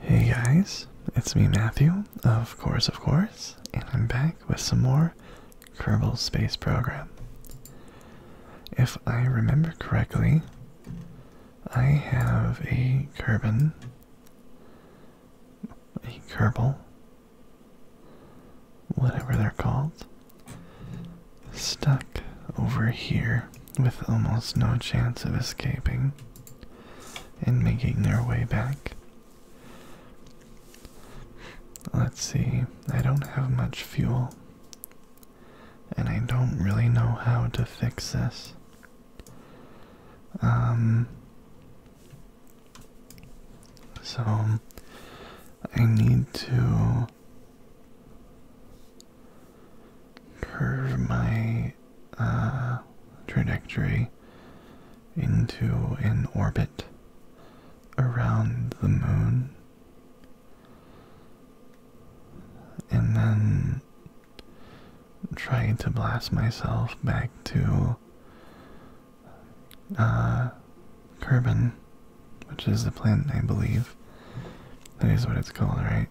Hey guys, it's me Matthew, of course, of course, and I'm back with some more Kerbal Space Program. If I remember correctly, I have a Kerbin, a Kerbal, whatever they're called, stuck over here with almost no chance of escaping and making their way back. Let's see, I don't have much fuel, and I don't really know how to fix this. Um, so I need to curve my uh, trajectory into an orbit around the moon and then trying to blast myself back to uh, Kerbin, which is the planet, I believe. That is what it's called, right?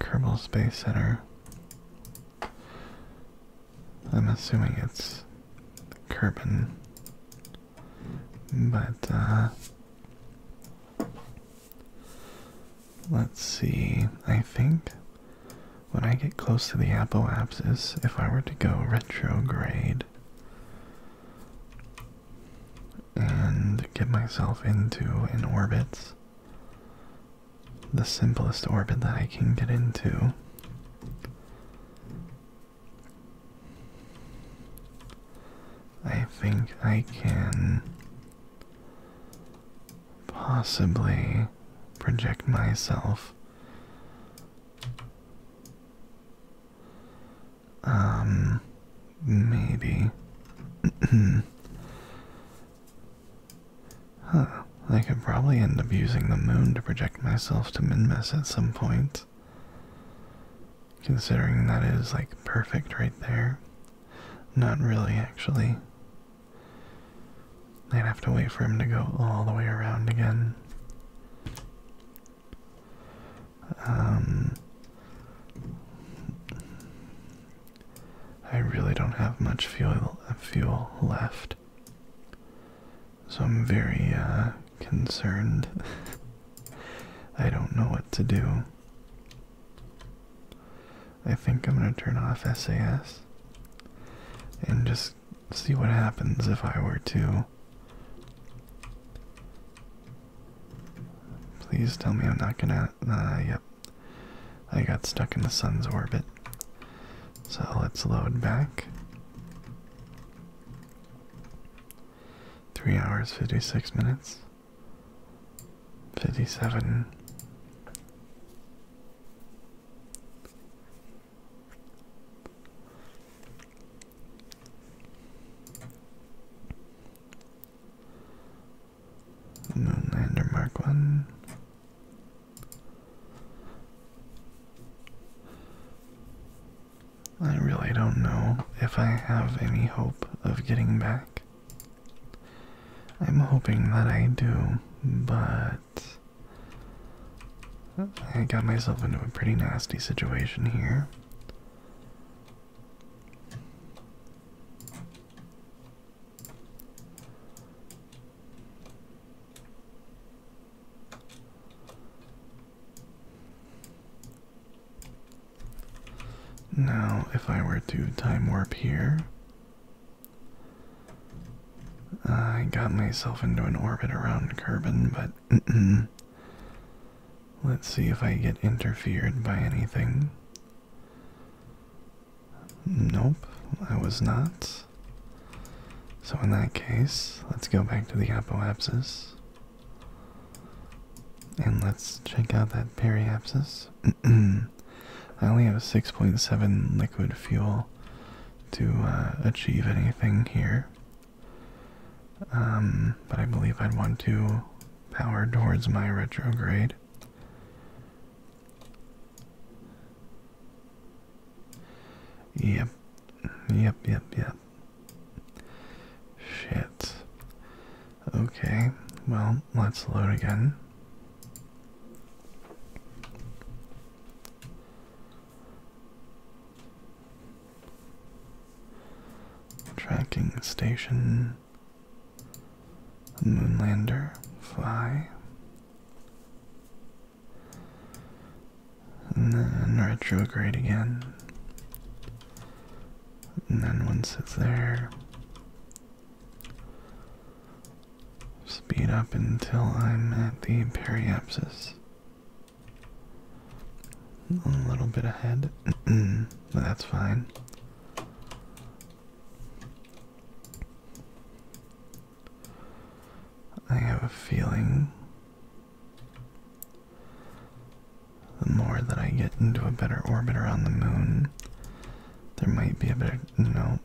Kerbal Space Center. I'm assuming it's Kerbin, but uh, let's see. I think when I get close to the apoapsis, if I were to go retrograde, and get myself into an orbit. The simplest orbit that I can get into. I think I can possibly project myself um Maybe. huh. I could probably end up using the moon to project myself to Minmus at some point. Considering that is like perfect right there. Not really, actually. I'd have to wait for him to go all the way around again. Um. I really don't have much fuel left. So I'm very uh, concerned. I don't know what to do. I think I'm going to turn off SAS and just see what happens if I were to Please tell me I'm not gonna. Uh, yep. I got stuck in the sun's orbit. So let's load back. 3 hours, 56 minutes. 57. Moonlander Mark 1. I really don't know if I have any hope of getting back. I'm hoping that I do, but I got myself into a pretty nasty situation here. Now, if I were to time warp here, I got myself into an orbit around Kerbin, but let's see if I get interfered by anything. Nope, I was not. So in that case, let's go back to the apoapsis. And let's check out that periapsis. I only have 6.7 liquid fuel to uh, achieve anything here. Um, but I believe I'd want to power towards my retrograde. Yep, yep, yep, yep. Shit. Okay, well, let's load again. Tracking station. Moonlander, fly. And then retrograde again. And then once it's there, speed up until I'm at the periapsis. A little bit ahead, that's fine. I have a feeling the more that I get into a better orbit around the moon, there might be a better. No.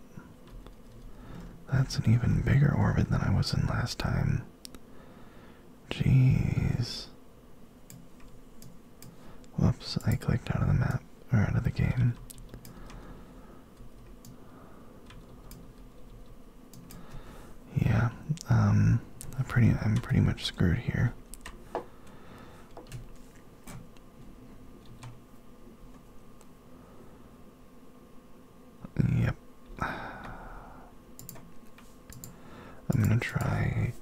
That's an even bigger orbit than I was in last time. Jeez. Whoops, I clicked out of the map, or out of the game. Yeah, um, I'm pretty, I'm pretty much screwed here. Yep. I'm gonna try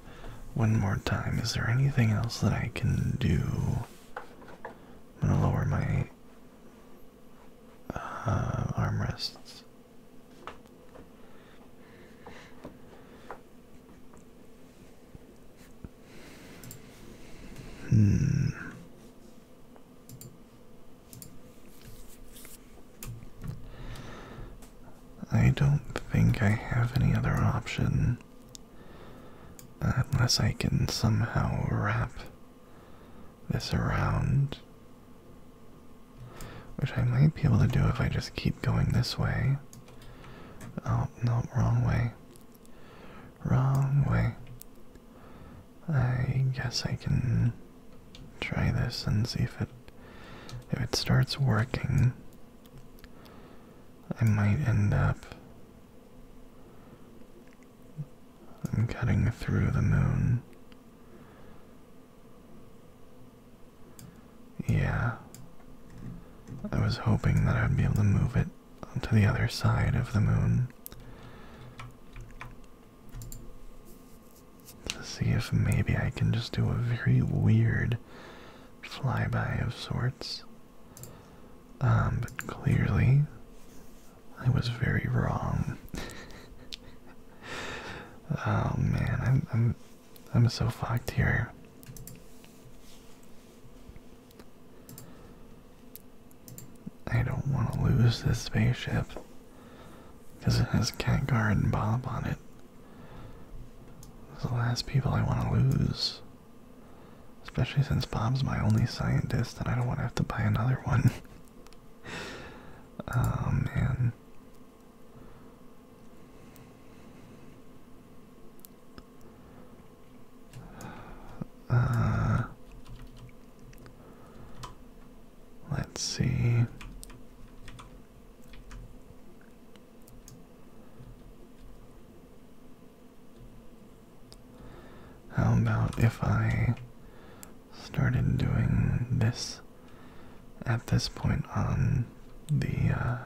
one more time. Is there anything else that I can do? I'm gonna lower my uh, armrests. Hmm. I don't think I have any other option. Unless I can somehow wrap this around. Which I might be able to do if I just keep going this way. Oh, no, wrong way. Wrong way. I guess I can try this and see if it if it starts working. I might end up cutting through the moon. Yeah. I was hoping that I would be able to move it to the other side of the moon. To see if maybe I can just do a very weird flyby of sorts. Um, but clearly, I was very wrong. oh man, I'm I'm I'm so fucked here. I don't want to lose this spaceship because it has Cat Guard and Bob on it. Those are the last people I want to lose. Especially since Bob's my only scientist and I don't want to have to buy another one. oh man. Uh, let's see. How about if I started doing this at this point on the uh,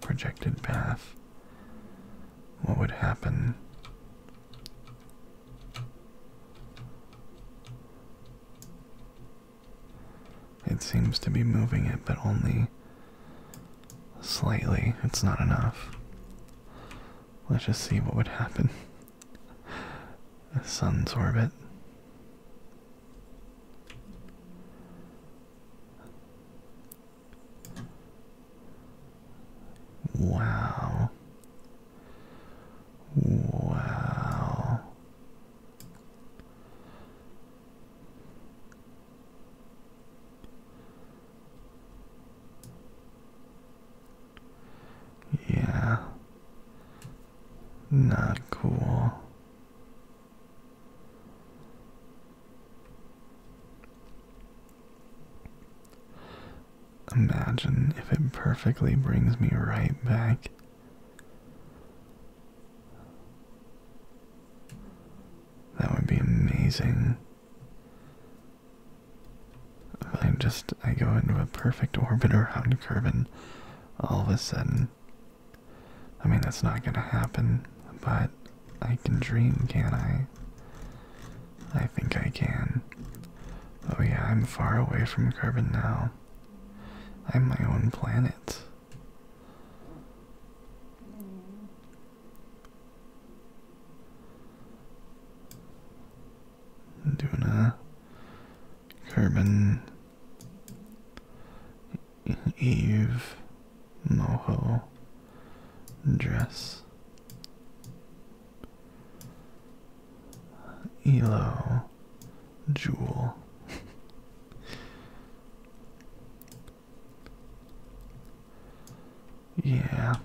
projected path? What would happen? It seems to be moving it, but only Slightly, it's not enough. Let's just see what would happen. The sun's orbit. Wow. Wow. Yeah. Not cool. Imagine if it perfectly brings me right back. That would be amazing. I just, I go into a perfect orbit around Kerbin all of a sudden. I mean, that's not gonna happen, but I can dream, can I? I think I can. Oh yeah, I'm far away from Kerbin now. I'm my own planet. Doing a Carbon Eve Moho dress. Elo Jewel yeah.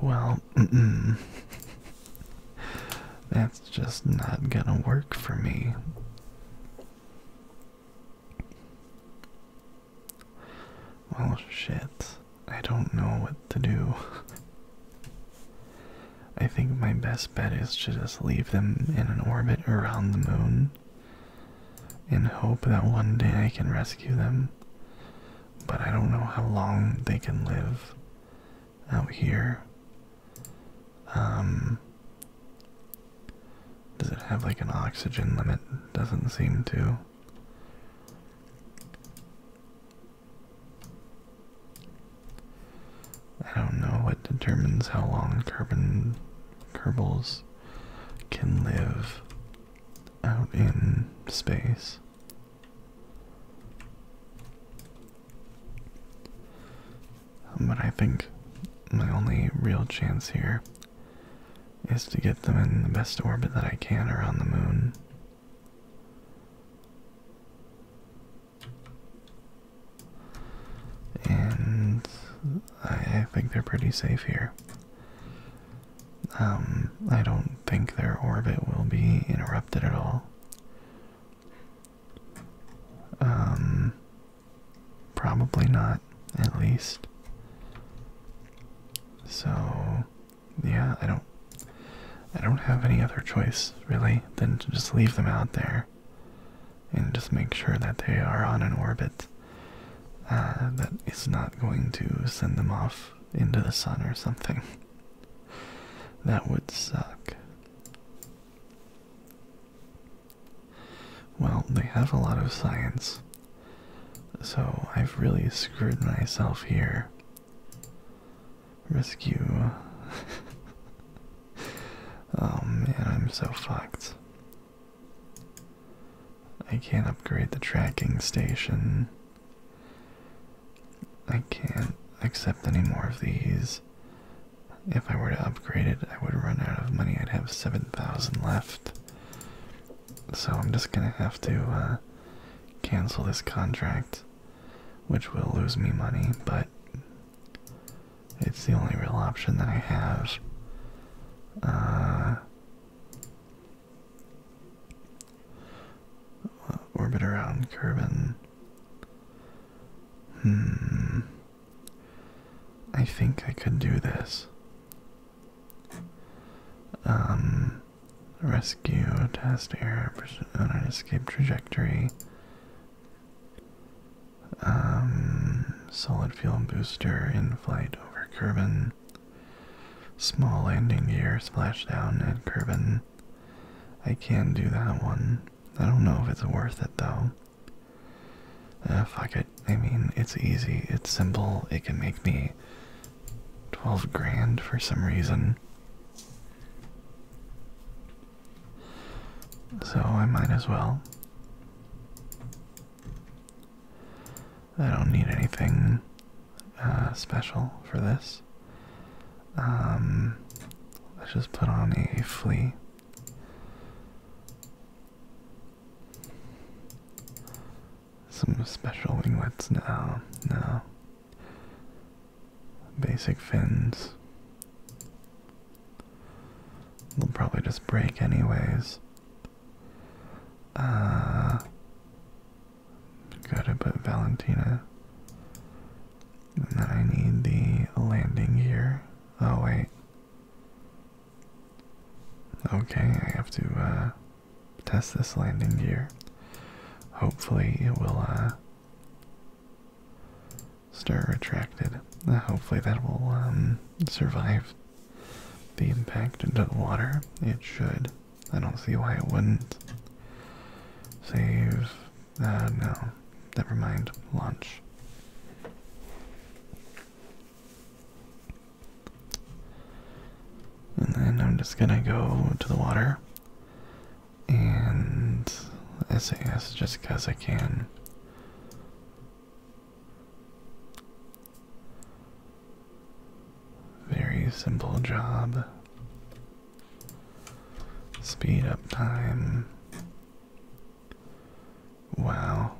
Well, that's just not gonna work for me. Well, shit. I don't know what to do. I think my best bet is to just leave them in an orbit around the moon in hope that one day I can rescue them. But I don't know how long they can live out here. Um, does it have like an oxygen limit? Doesn't seem to. I don't know what determines how long carbon Kerbals can live out in space. But I think my only real chance here is to get them in the best orbit that I can around the moon. And I think they're pretty safe here. Um, I don't think their orbit will be interrupted at all. Um, probably not, at least. So, yeah, I don't, I don't have any other choice really than to just leave them out there, and just make sure that they are on an orbit uh, that is not going to send them off into the sun or something. That would suck. Well, they have a lot of science, so I've really screwed myself here. Rescue. oh man, I'm so fucked. I can't upgrade the tracking station. I can't accept any more of these. If I were to upgrade it, I would run out of money. I'd have 7,000 left. So I'm just gonna have to uh, cancel this contract, which will lose me money, but it's the only real option that I have. Uh, orbit around Kerbin. Hmm. I think I could do this. Um, rescue, test air, and an uh, escape trajectory. Um, solid fuel booster in flight over Kerbin. Small landing gear, down, Ed Curvin. I can do that one. I don't know if it's worth it though. If I could, I mean, it's easy, it's simple, it can make me 12 grand for some reason. So I might as well. I don't need anything uh, special for this. Um, let's just put on a flea. Some special winglets? now. no. Basic fins. They'll probably just break anyways. Uh, gotta put Valentina. And then I need the landing gear. Oh, wait. Okay, I have to uh, test this landing gear. Hopefully, it will uh, start retracted. Uh, hopefully, that will um, survive be packed into the water? It should. I don't see why it wouldn't. Save. Uh, no. Never mind. Launch. And then I'm just gonna go to the water and SAS just because I can. Very simple job. Speed up time. Wow.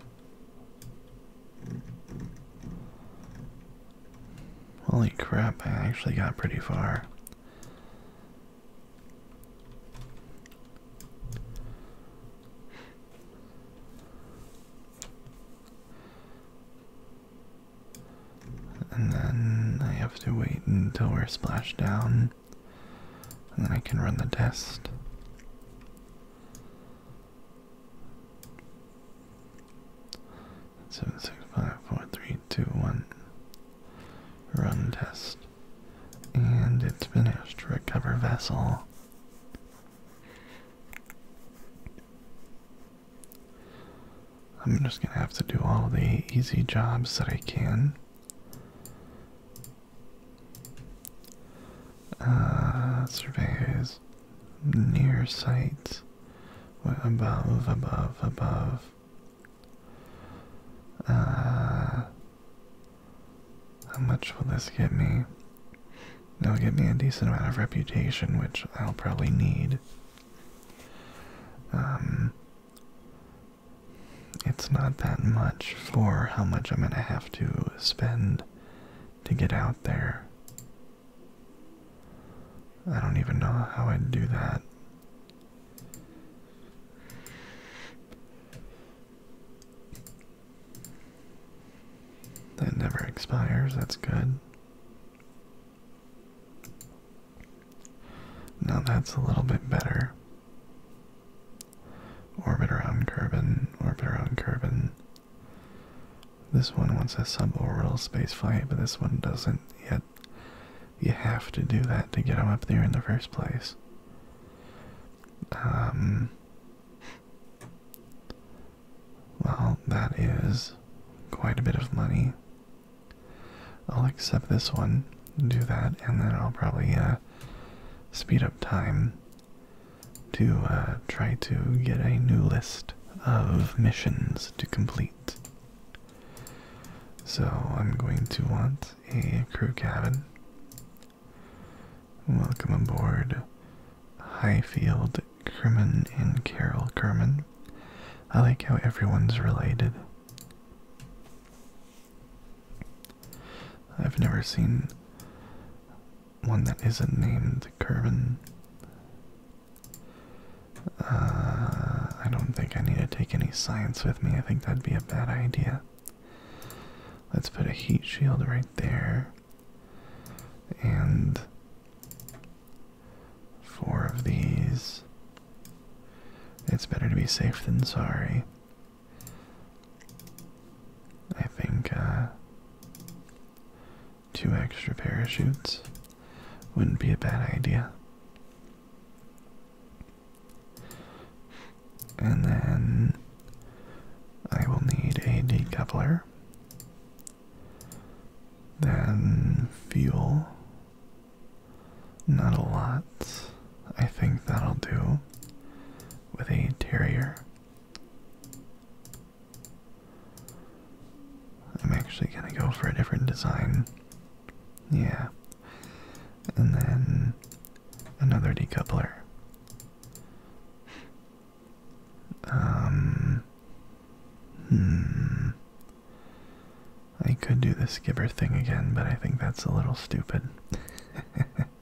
Holy crap, I actually got pretty far. And then I have to wait until we're splashed down. And then I can run the test. Seven six five four three two one. Run test. And it's finished. Recover vessel. I'm just gonna have to do all the easy jobs that I can. Uh, surveyors, near sights, above, above, above. Uh, how much will this get me? That'll get me a decent amount of reputation, which I'll probably need. Um, it's not that much for how much I'm going to have to spend to get out there. I don't even know how I'd do that. That never expires, that's good. Now that's a little bit better. Orbit around Kerbin, orbit around Kerbin. This one wants a suborbital space flight, but this one doesn't yet. You have to do that to get them up there in the first place. Um, well, that is quite a bit of money. I'll accept this one, do that, and then I'll probably uh, speed up time to uh, try to get a new list of missions to complete. So I'm going to want a crew cabin. Welcome aboard Highfield, Kerman, and Carol Kerman. I like how everyone's related. I've never seen one that isn't named Kerman. Uh, I don't think I need to take any science with me. I think that'd be a bad idea. Let's put a heat shield right there and four of these. It's better to be safe than sorry. I think uh, two extra parachutes wouldn't be a bad idea. And then I will need a decoupler then fuel. Not a lot. I think that'll do with a terrier. I'm actually gonna go for a different design. Yeah. And then another decoupler. Um. Hmm. I could do the skipper thing again, but I think that's a little stupid.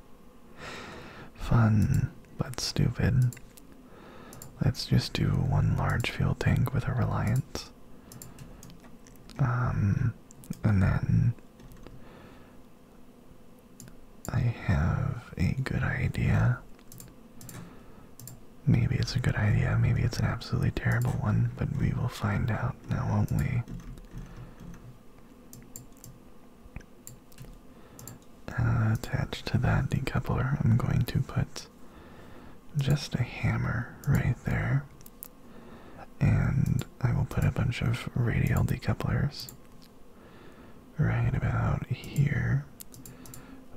Fun, but stupid. Let's just do one large fuel tank with a reliance. Um, and then I have a good idea Maybe it's a good idea, maybe it's an absolutely terrible one, but we will find out now, won't we? Uh, attached to that decoupler, I'm going to put just a hammer right there, and I will put a bunch of radial decouplers right about here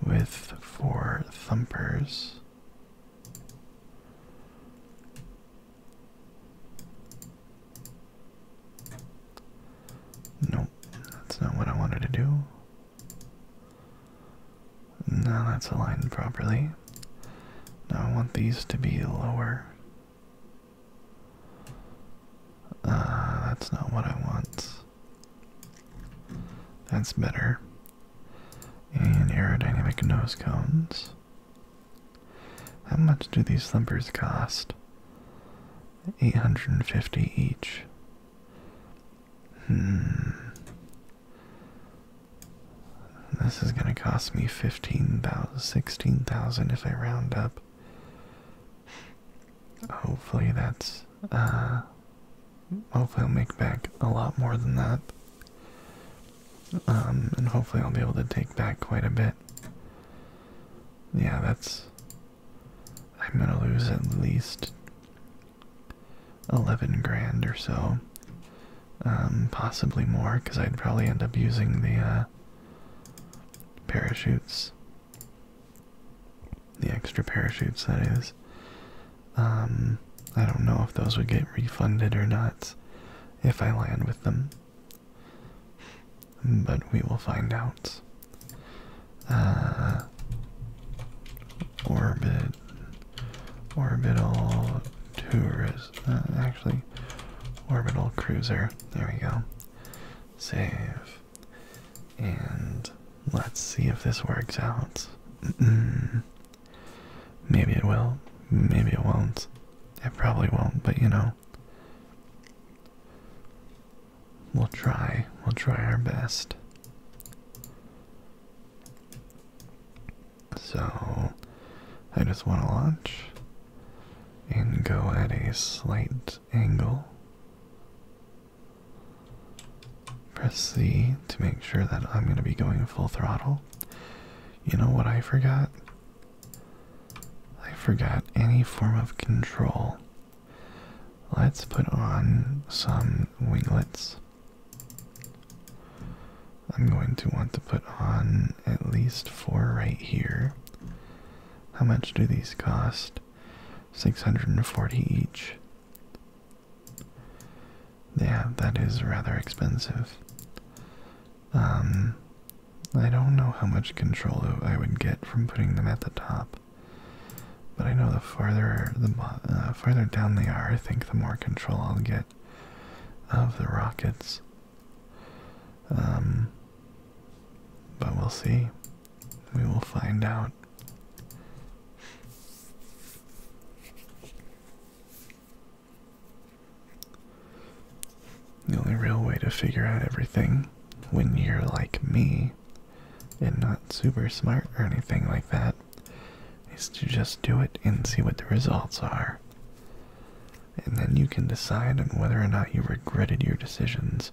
with four thumpers. Nope, that's not what I wanted to do. Now that's aligned properly. Now I want these to be lower. Uh, that's not what I want. That's better. And aerodynamic nose cones. How much do these slumpers cost? 850 each. Hmm. This is going to cost me 15,000, 16,000 if I round up hopefully that's uh, hopefully I'll make back a lot more than that. Um, and hopefully I'll be able to take back quite a bit. Yeah, that's I'm gonna lose at least 11 grand or so. Um, possibly more, because I'd probably end up using the uh, parachutes the extra parachutes, that is. Um, I don't know if those would get refunded or not if I land with them. But we will find out. Uh, orbit. Orbital tourist. Uh, actually, orbital cruiser. There we go. Save. And let's see if this works out. maybe it will, maybe it won't. It probably won't, but you know. We'll try. We'll try our best. So, I just want to launch and go at a slight angle. Press C to make sure that I'm going to be going full throttle. You know what I forgot? I forgot any form of control. Let's put on some winglets. I'm going to want to put on at least four right here. How much do these cost? 640 each. Yeah, that is rather expensive. Um, I don't know how much control I would get from putting them at the top, but I know the farther the uh, farther down they are, I think the more control I'll get of the rockets. Um, but we'll see. We will find out. The only real way to figure out everything when you're like me and not super smart or anything like that is to just do it and see what the results are. And then you can decide on whether or not you regretted your decisions.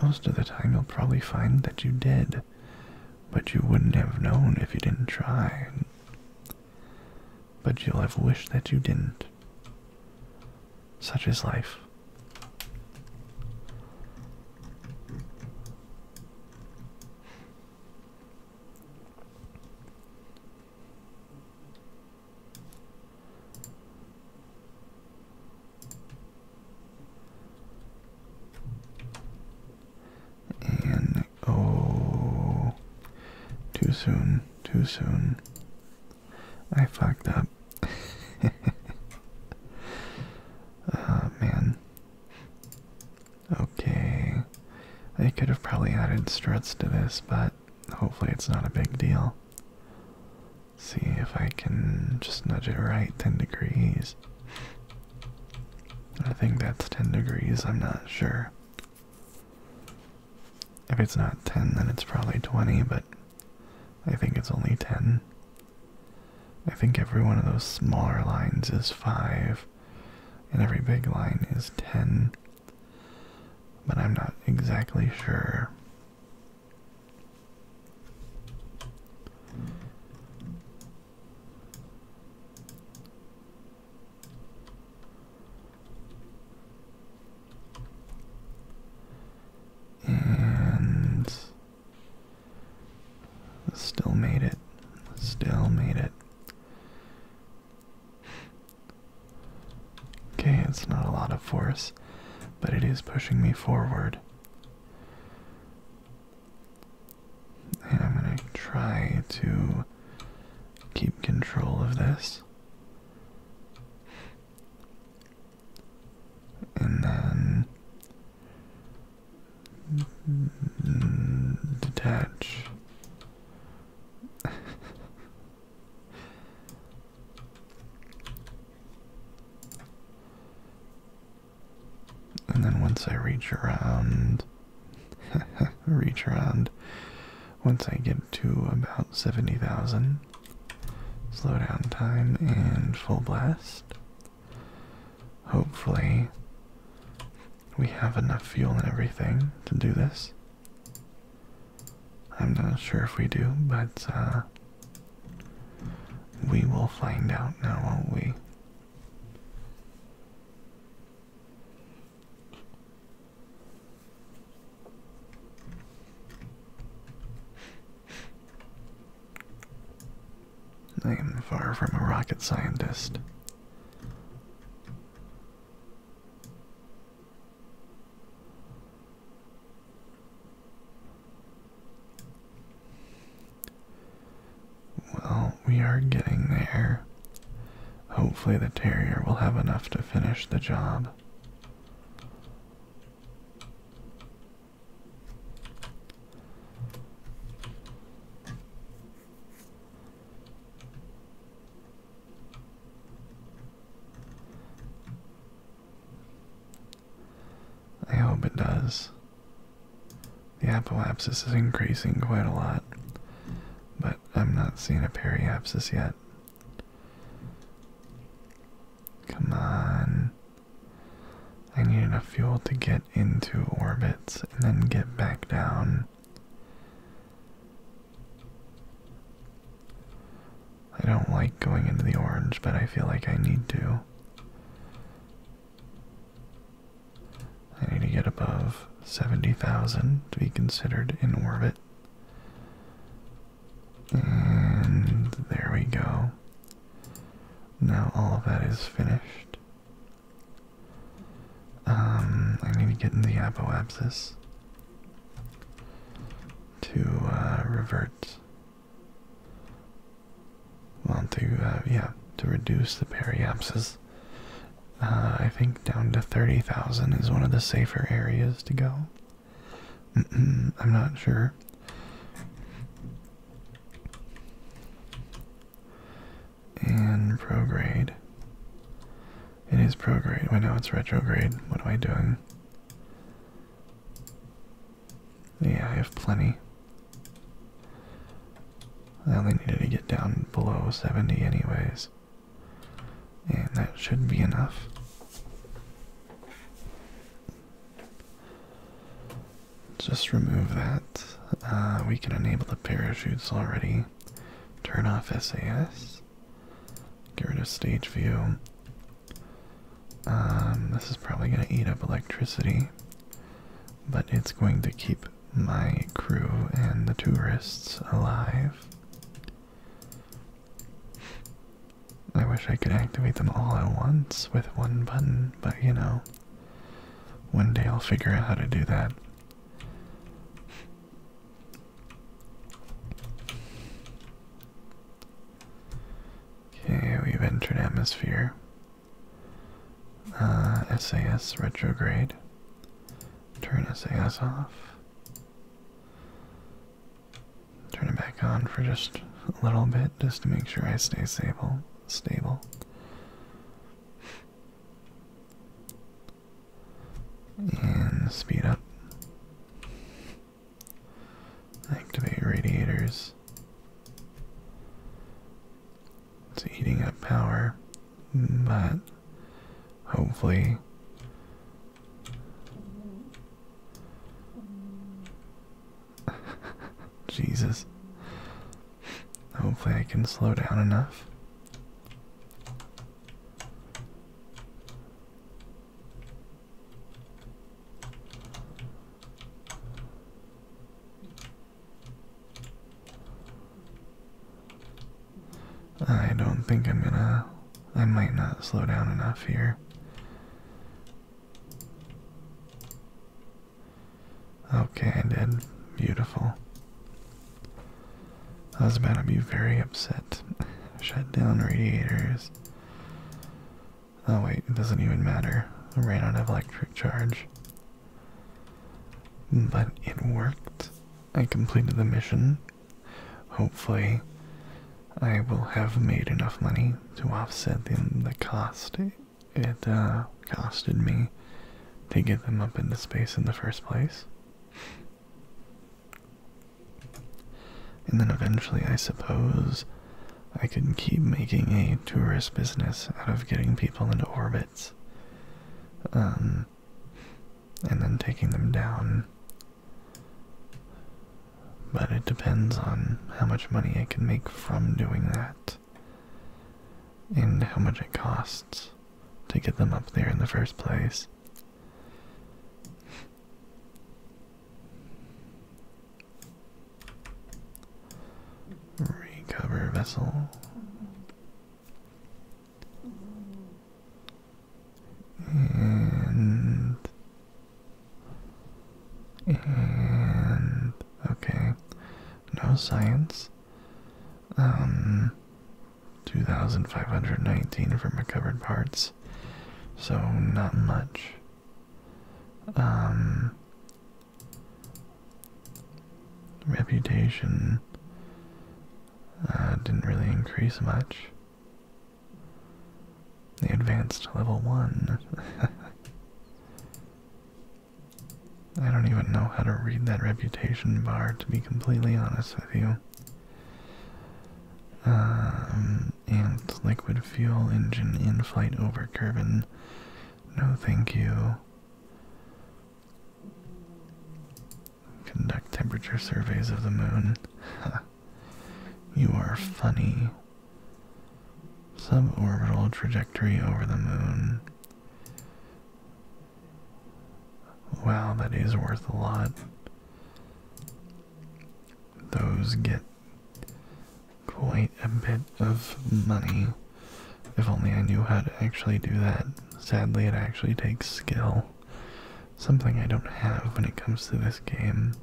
Most of the time, you'll probably find that you did but you wouldn't have known if you didn't try. But you'll have wished that you didn't. Such is life. And oh, too soon, too soon. I fucked up. uh, man. Okay. I could have probably added struts to this, but hopefully it's not a big deal. See if I can just nudge it right 10 degrees. I think that's 10 degrees, I'm not sure. If it's not 10, then it's probably 20, but I think it's only 10. I think every one of those smaller lines is 5, and every big line is 10. But I'm not exactly sure. And still made it. Still made it. Okay, it's not a lot of force, but it is pushing me forward. And I'm going to try to keep control of this. And then detach. And then once I reach around, reach around, once I get to about 70,000, slow down time and full blast. Hopefully, we have enough fuel and everything to do this. I'm not sure if we do, but uh, we will find out now, won't we? I am far from a rocket scientist. Well, we are getting there. Hopefully, the terrier will have enough to finish the job. I hope it does. The apoapsis is increasing quite a lot, but I'm not seeing a periapsis yet. Come on. I need enough fuel to get into orbits and then get back down. I don't like going into the orange, but I feel like I need to. I need to get above 70,000 to be considered in orbit. And there we go. Now all of that is finished. Um, I need to get in the apoapsis to uh, revert want to, uh, yeah, to reduce the periapsis. Uh, I think down to 30,000 is one of the safer areas to go. I'm not sure. And prograde. It is prograde. Wait, no, it's retrograde. What am I doing? Yeah, I have plenty. I only needed to get down below 70 anyways. And that should be enough. Just remove that. Uh, we can enable the parachutes already. Turn off SAS. Get rid of stage view. Um, this is probably going to eat up electricity, but it's going to keep my crew and the tourists alive. I wish I could activate them all at once with one button, but you know, one day I'll figure out how to do that. Okay, we've entered atmosphere. Uh, SAS retrograde. Turn SAS off. Turn it back on for just a little bit, just to make sure I stay stable. Stable. And speed up. Activate radiators. It's eating up power, but hopefully Jesus. Hopefully I can slow down enough. I don't think I'm gonna. I might not slow down enough here. Okay, I did. Beautiful. I was about to be very upset. Shut down radiators. Oh wait, it doesn't even matter. I ran out of electric charge. But it worked. I completed the mission. Hopefully, I will have made enough money to offset the, the cost it uh, costed me to get them up into space in the first place. And then eventually, I suppose, I can keep making a tourist business out of getting people into orbits. Um, and then taking them down. But it depends on how much money I can make from doing that and how much it costs to get them up there in the first place. Recover vessel. And. And. Okay. No science. Um. 2,519 for recovered parts. So, not much. Um reputation uh, didn't really increase much. The advanced level 1. I don't even know how to read that reputation bar, to be completely honest with you. Um, and liquid fuel engine in flight over Curvin no, thank you. Conduct temperature surveys of the moon. you are funny. Suborbital trajectory over the moon. Wow, that is worth a lot. Those get quite a bit of money. If only I knew how to actually do that. Sadly, it actually takes skill. Something I don't have when it comes to this game.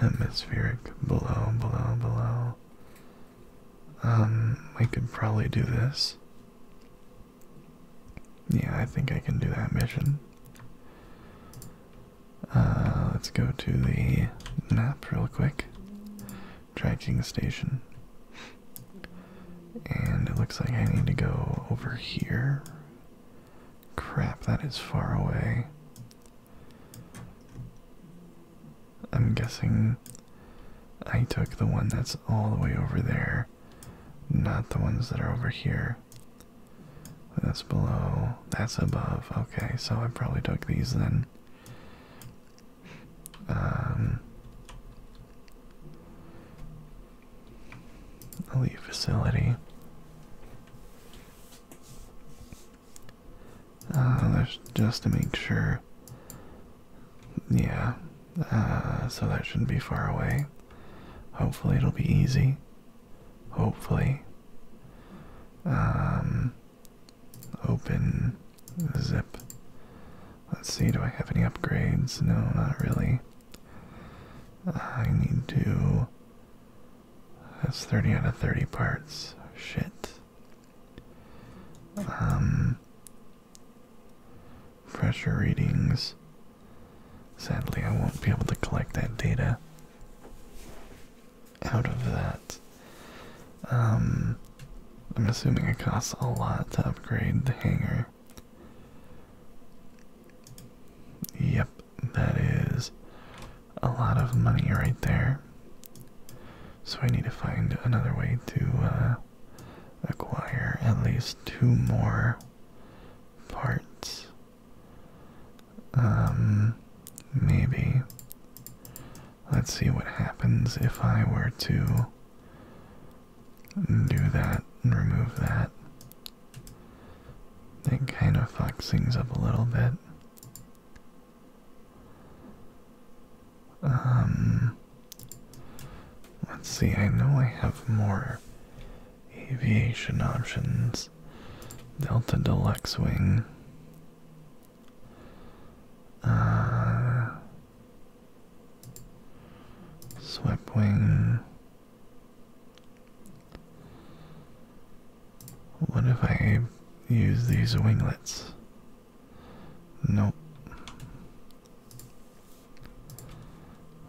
Atmospheric, below, below, below. Um, I could probably do this. Yeah, I think I can do that mission. Uh, let's go to the map real quick. Tracking station. And it looks like I need to go over here. Crap, that is far away. I'm guessing I took the one that's all the way over there, not the ones that are over here. That's below. That's above. Okay, so I probably took these then. Um, elite facility. Uh, just to make sure. Yeah, uh, so that shouldn't be far away. Hopefully, it'll be easy. Hopefully. Um, open zip. Let's see, do I have any upgrades? No, not really. I need to. That's 30 out of 30 parts. Shit. Um, pressure readings. Sadly, I won't be able to collect that data out of that. Um, I'm assuming it costs a lot to upgrade the hangar. Yep, that is a lot of money right there. So I need to find another way to uh, acquire at least two more parts. Um, maybe. Let's see what happens if I were to do that and remove that. It kind of fucks things up a little bit. Um, let's see, I know I have more aviation options, Delta Deluxe Wing. Uh, swept wing. What if I use these winglets? Nope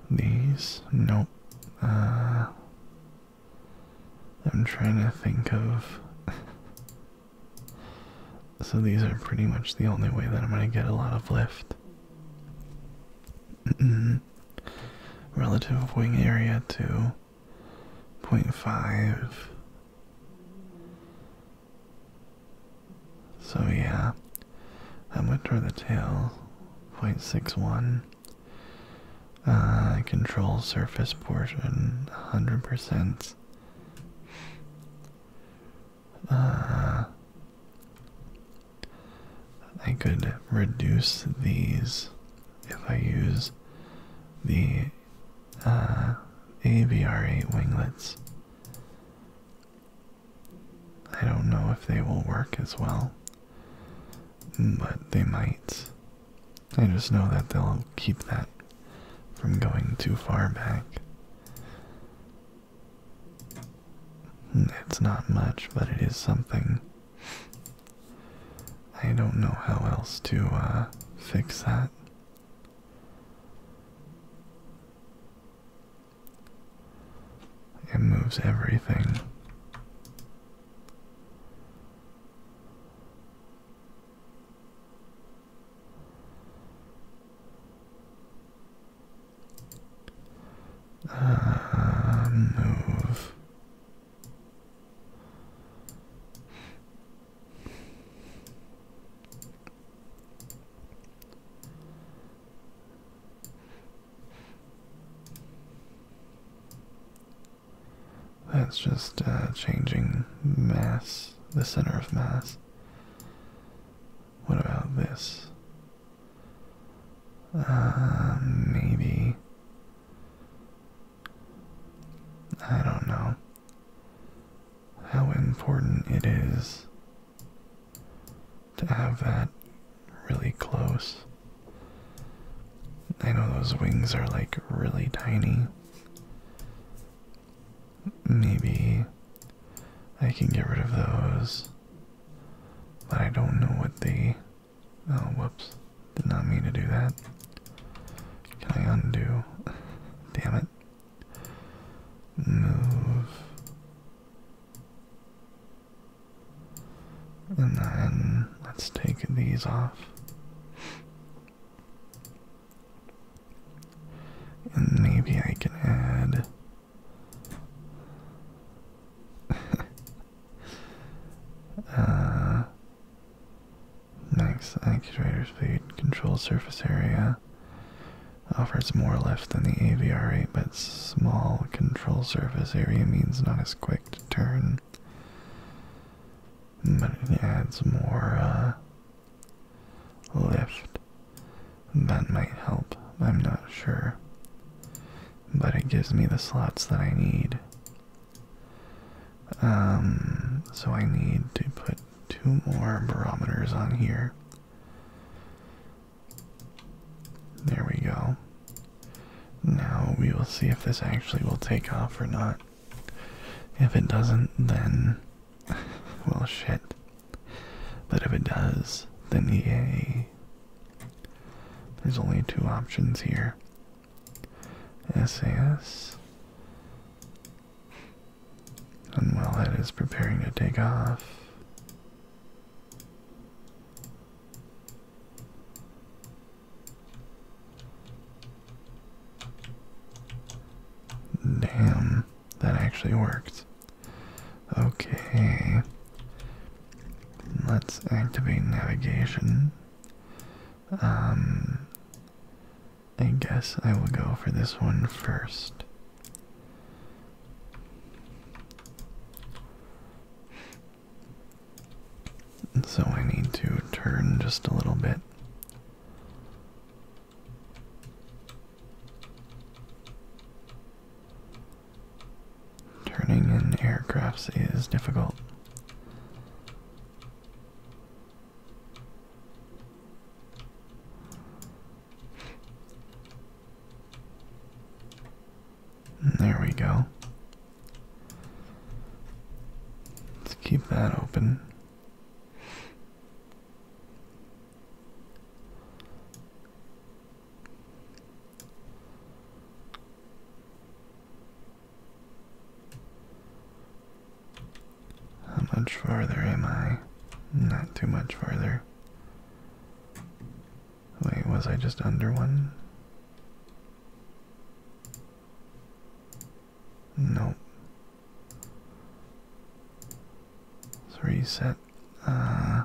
these? Nope. Uh, I'm trying to think of. so these are pretty much the only way that I'm going to get a lot of lift. Relative wing area to 0.5. So, yeah, I'm gonna turn the tail? 0.61. Uh, control surface portion 100%. Uh, I could reduce these if I use the uh, AVR8 winglets. I don't know if they will work as well but they might. I just know that they'll keep that from going too far back. It's not much, but it is something. I don't know how else to uh, fix that. It moves everything. Uh, move. That's just uh, changing mass, the center of mass. What about this? Uh, maybe. I don't know how important it is to have that really close. I know those wings are like really tiny. Maybe I can get rid of those, but I don't know what the. Oh, whoops. Did not mean to do that. Can I undo? Damn it. Move. And then let's take these off. And maybe I can add. next, uh, actuator speed, control surface area. Offers more lift than the AVR8, but small control surface area means not as quick perfect turn. But it adds more uh, lift. That might help. I'm not sure. But it gives me the slots that I need. Um, so I need to put two more barometers on here. There we go. Now we will see if this actually will take off or not. If it doesn't, then. well, shit. But if it does, then yay. There's only two options here SAS. And while that is preparing to take off, Damn, that actually worked. Okay. Let's activate navigation. Um I guess I will go for this one first. So I need to turn just a little bit. Turning in aircrafts is difficult. There we go. Let's keep that open. How much farther am I? Not too much farther. Wait, was I just under one? Nope. reset. Uh,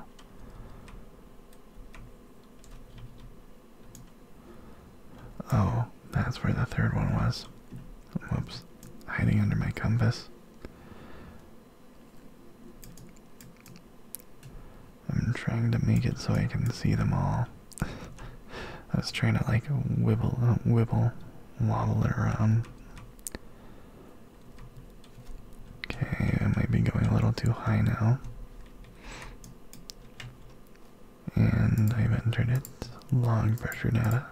oh, that's where the third one was. Whoops. Hiding under my compass. I'm trying to make it so I can see them all. I was trying to like wibble, uh, wibble, wobble it around. Okay, I might be going a little too high now. And I've entered it. Log pressure data.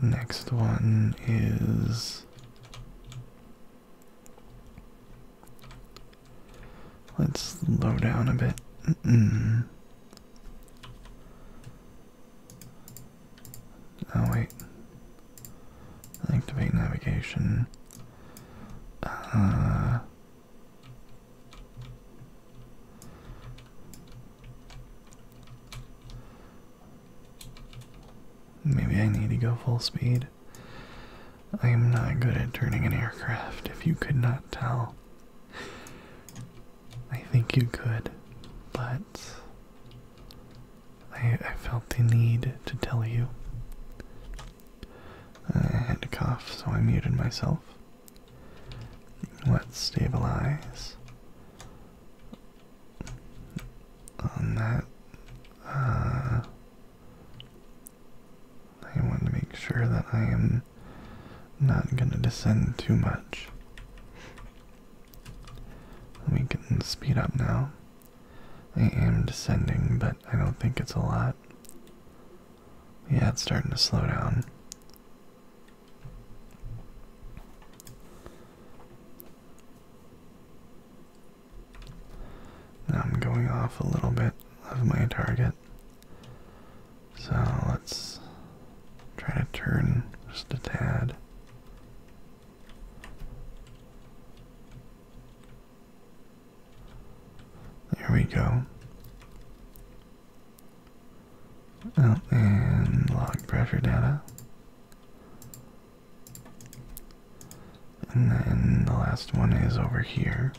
Next one is Let's slow down a bit. Oh wait. Activate navigation. Uh. maybe I need to go full speed. I am not good at turning an aircraft, if you could not tell. I think you could, but I, felt the need to tell you. I had a cough, so I muted myself. Let's stabilize on that. Uh, I want to make sure that I am not going to descend too much. We can speed up now. I am descending, but I don't think it's a lot. Yeah, it's starting to slow down. Now I'm going off a little bit of my target. So let's try to turn just a tad. There we go. Oh, and log pressure data. And then the last one is over here.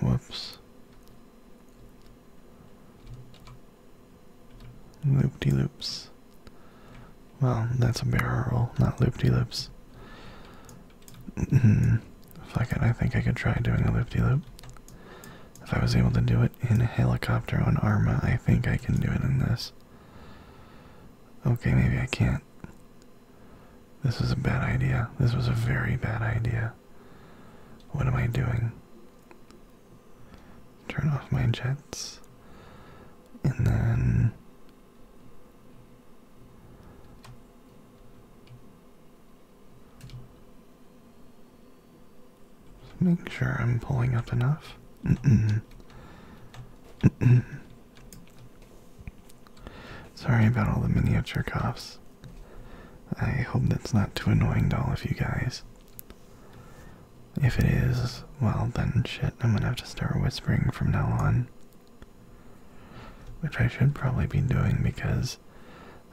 Whoops. loop loops Well, that's a barrel, not loop-de-loops. Hmm. it, I think I could try doing a loop-de-loop. loop loop if I was able to do it in a helicopter on Arma, I think I can do it in this. Okay, maybe I can't. This is a bad idea. This was a very bad idea. What am I doing? Turn off my jets. And then. Just make sure I'm pulling up enough. Sorry about all the miniature coughs. I hope that's not too annoying to all of you guys. If it is, well then shit, I'm gonna have to start whispering from now on. Which I should probably be doing because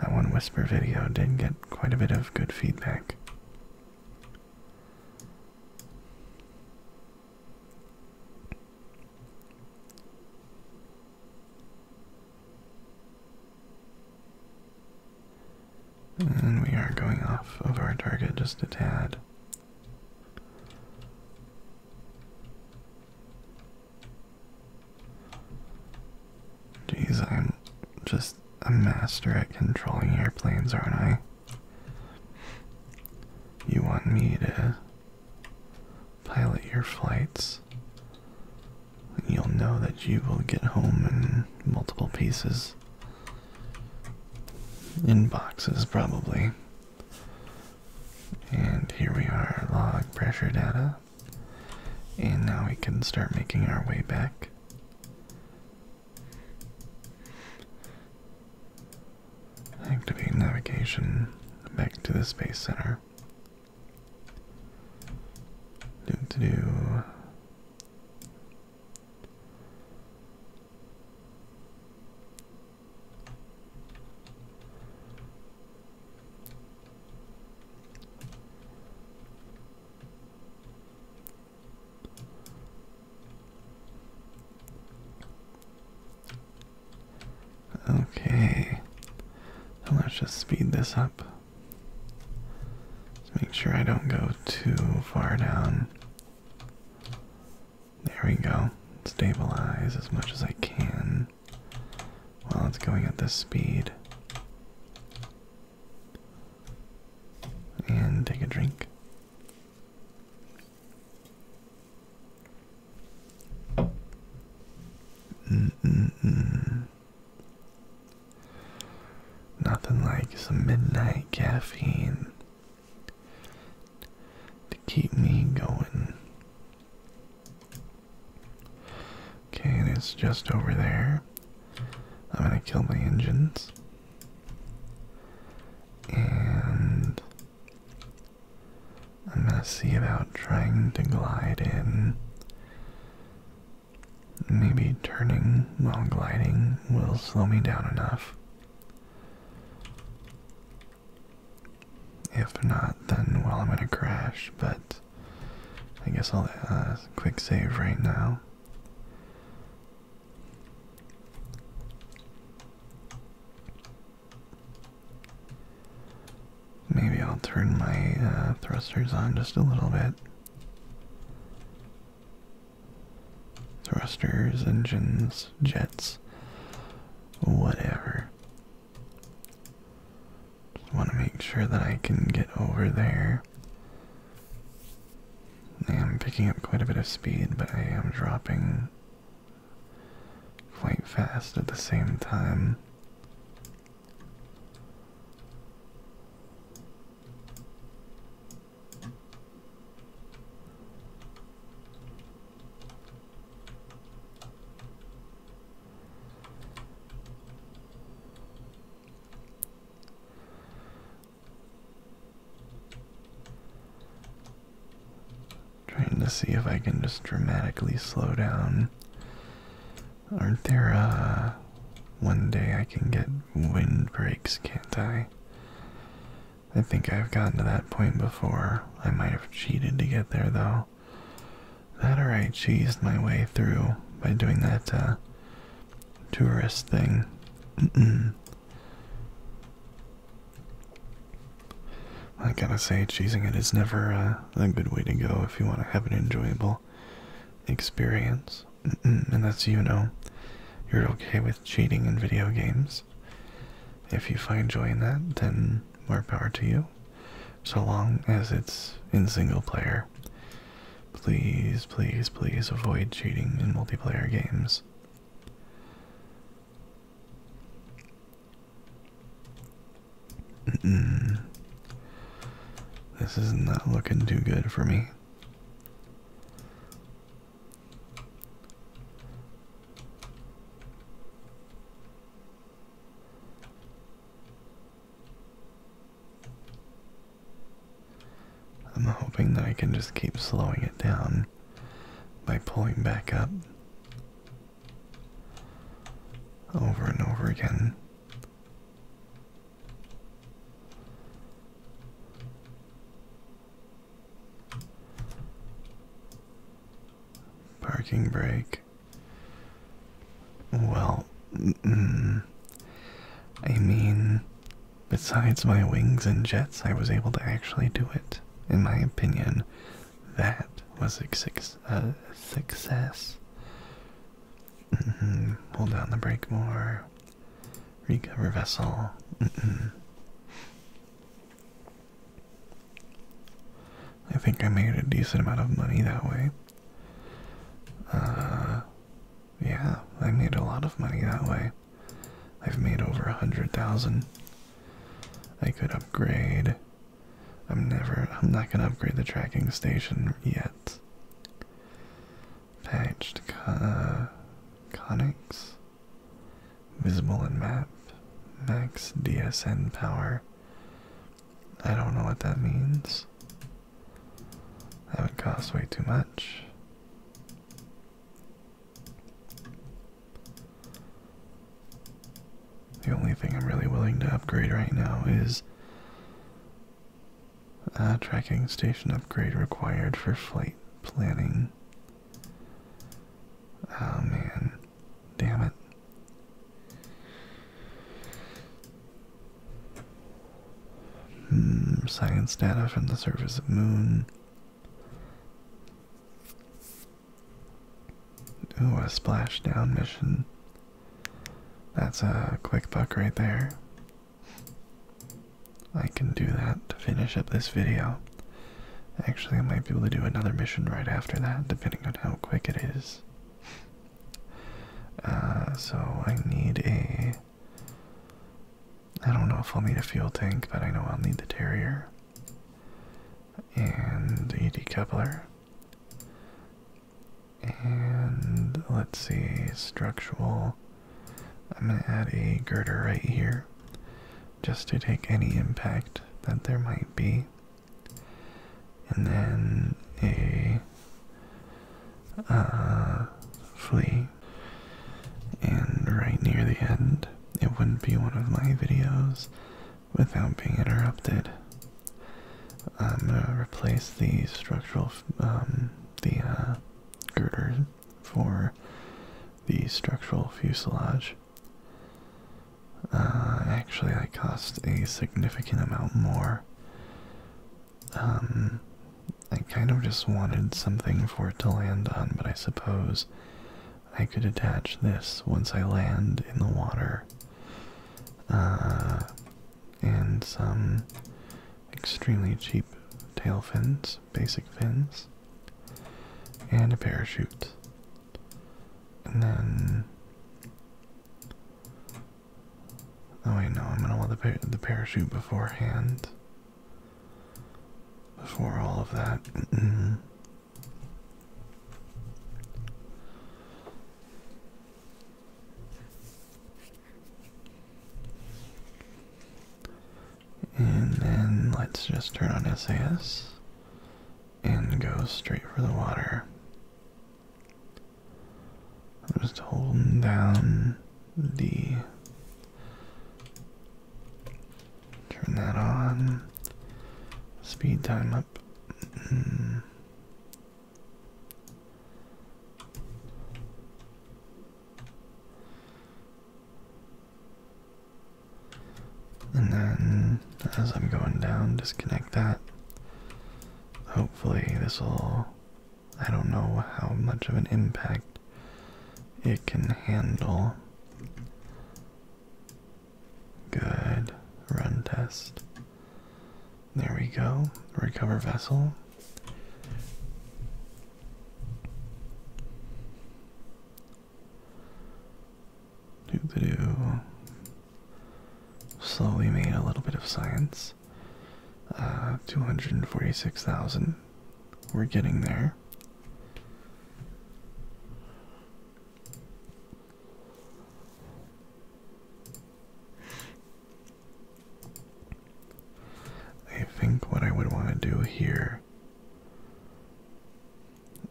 that one whisper video did get quite a bit of good feedback. And we are going off of our target just a tad. Jeez, I'm just a master at controlling airplanes, aren't I? You want me to pilot your flights? You'll know that you will get home in multiple pieces. In boxes, probably. And here we are log pressure data. And now we can start making our way back. Activate navigation back to the Space Center. do. Okay, let's just speed this up. Just make sure I don't go too far down. There we go. Stabilize as much as I can while it's going at this speed. And take a drink. Nothing like some midnight caffeine to keep me going. Okay, and it's just over there. I'm gonna kill my engines. And I'm gonna see about trying to glide in. Maybe turning while gliding will slow me down enough. If not, then well, I'm gonna crash, but I guess I'll uh, quick save right now. Maybe I'll turn my uh, thrusters on just a little bit. Thrusters, engines, jets, whatever. Just want to make sure that I can get over there. I am picking up quite a bit of speed, but I am dropping quite fast at the same time. Trying to see if I can just dramatically slow down. Aren't there, uh, one day I can get wind breaks, can't I? I think I've gotten to that point before. I might have cheated to get there, though. That or I cheesed my way through by doing that uh, tourist thing. I gotta say, cheating it is never uh, a good way to go if you want to have an enjoyable experience. And that's you know, you're okay with cheating in video games. If you find joy in that, then more power to you. So long as it's in single player Please, please, please avoid cheating in multiplayer games. This is not looking too good for me. I'm hoping that I can just keep slowing it down by pulling back up over and over again. Parking brake. Well, I mean, besides my wings and jets, I was able to actually do it. In my opinion, that was a success. Mm Hold down the brake more. Recover vessel. I think I made a decent amount of money that way. Uh, yeah, I made a lot of money that way. I've made over a hundred thousand. I could upgrade. I'm never. I'm not gonna upgrade the tracking station yet. Patched con uh, conics. Visible and map. Max DSN power. I don't know what that means. That would cost way too much. The only thing I'm really willing to upgrade right now is a tracking station upgrade required for flight planning. Oh man, damn it. Hmm, science data from the surface of moon. Ooh, a splashdown mission. That's a quick buck right there. I can do that to finish up this video. Actually, I might be able to do another mission right after that, depending on how quick it is. Uh, so I need a. I don't know if I'll need a fuel tank, but I know I'll need the Terrier and a decoupler. And let's see, structural. I'm going to add a girder right here just to take any impact that there might be. And then a uh, And right near the end, it wouldn't be one of my videos without being interrupted. I'm gonna replace the structural, um, the uh, girder for the structural fuselage. Uh, actually, I cost a significant amount more. Um, I kind of just wanted something for it to land on, but I suppose I could attach this once I land in the water. Uh, and some extremely cheap tail fins, basic fins, and a parachute. And then Oh, wait, no, I'm gonna want the, the parachute beforehand. Before all of that. and then let's just turn on SAS and go straight for the water. I'm just holding down D. Turn that on. Speed time up. Mm. And then, as I'm going down, disconnect that. Hopefully, this will I don't know how much of an impact it can handle. Good. Run test. There we go. Recover vessel. doop a Slowly made a little bit of science. 246,000. We're getting there. I think what I would want to do here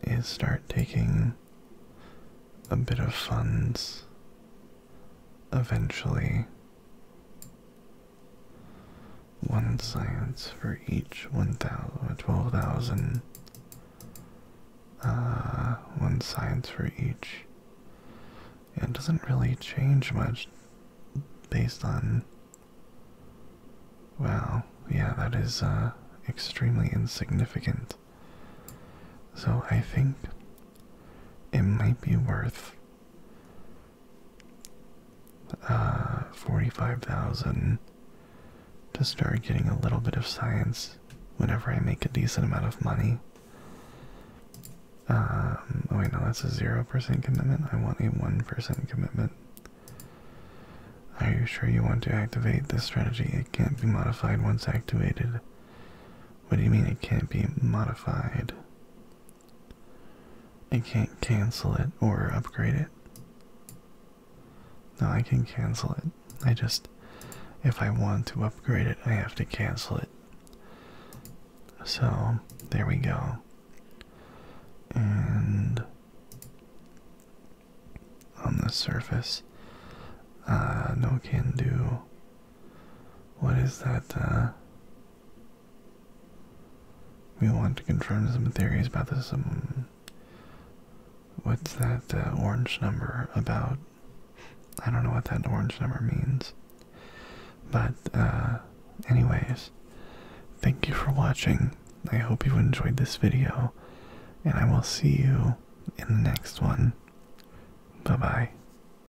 is start taking a bit of funds eventually one science for each 1,000, 12,000. Uh, one science for each. It doesn't really change much based on. Well, yeah, that is uh, extremely insignificant. So I think it might be worth uh, 45,000 to start getting a little bit of science whenever I make a decent amount of money. Um, oh wait, no, that's a 0% commitment. I want a 1% commitment. Are you sure you want to activate this strategy? It can't be modified once activated. What do you mean it can't be modified? I can't cancel it or upgrade it. No, I can cancel it. I just, if I want to upgrade it, I have to cancel it. So, there we go. And on the surface, uh, no can do. What is that? Uh, we want to confirm some theories about this. Some. Um, what's that uh, orange number about? I don't know what that orange number means. But, uh, anyways, thank you for watching. I hope you enjoyed this video, and I will see you in the next one. Bye bye.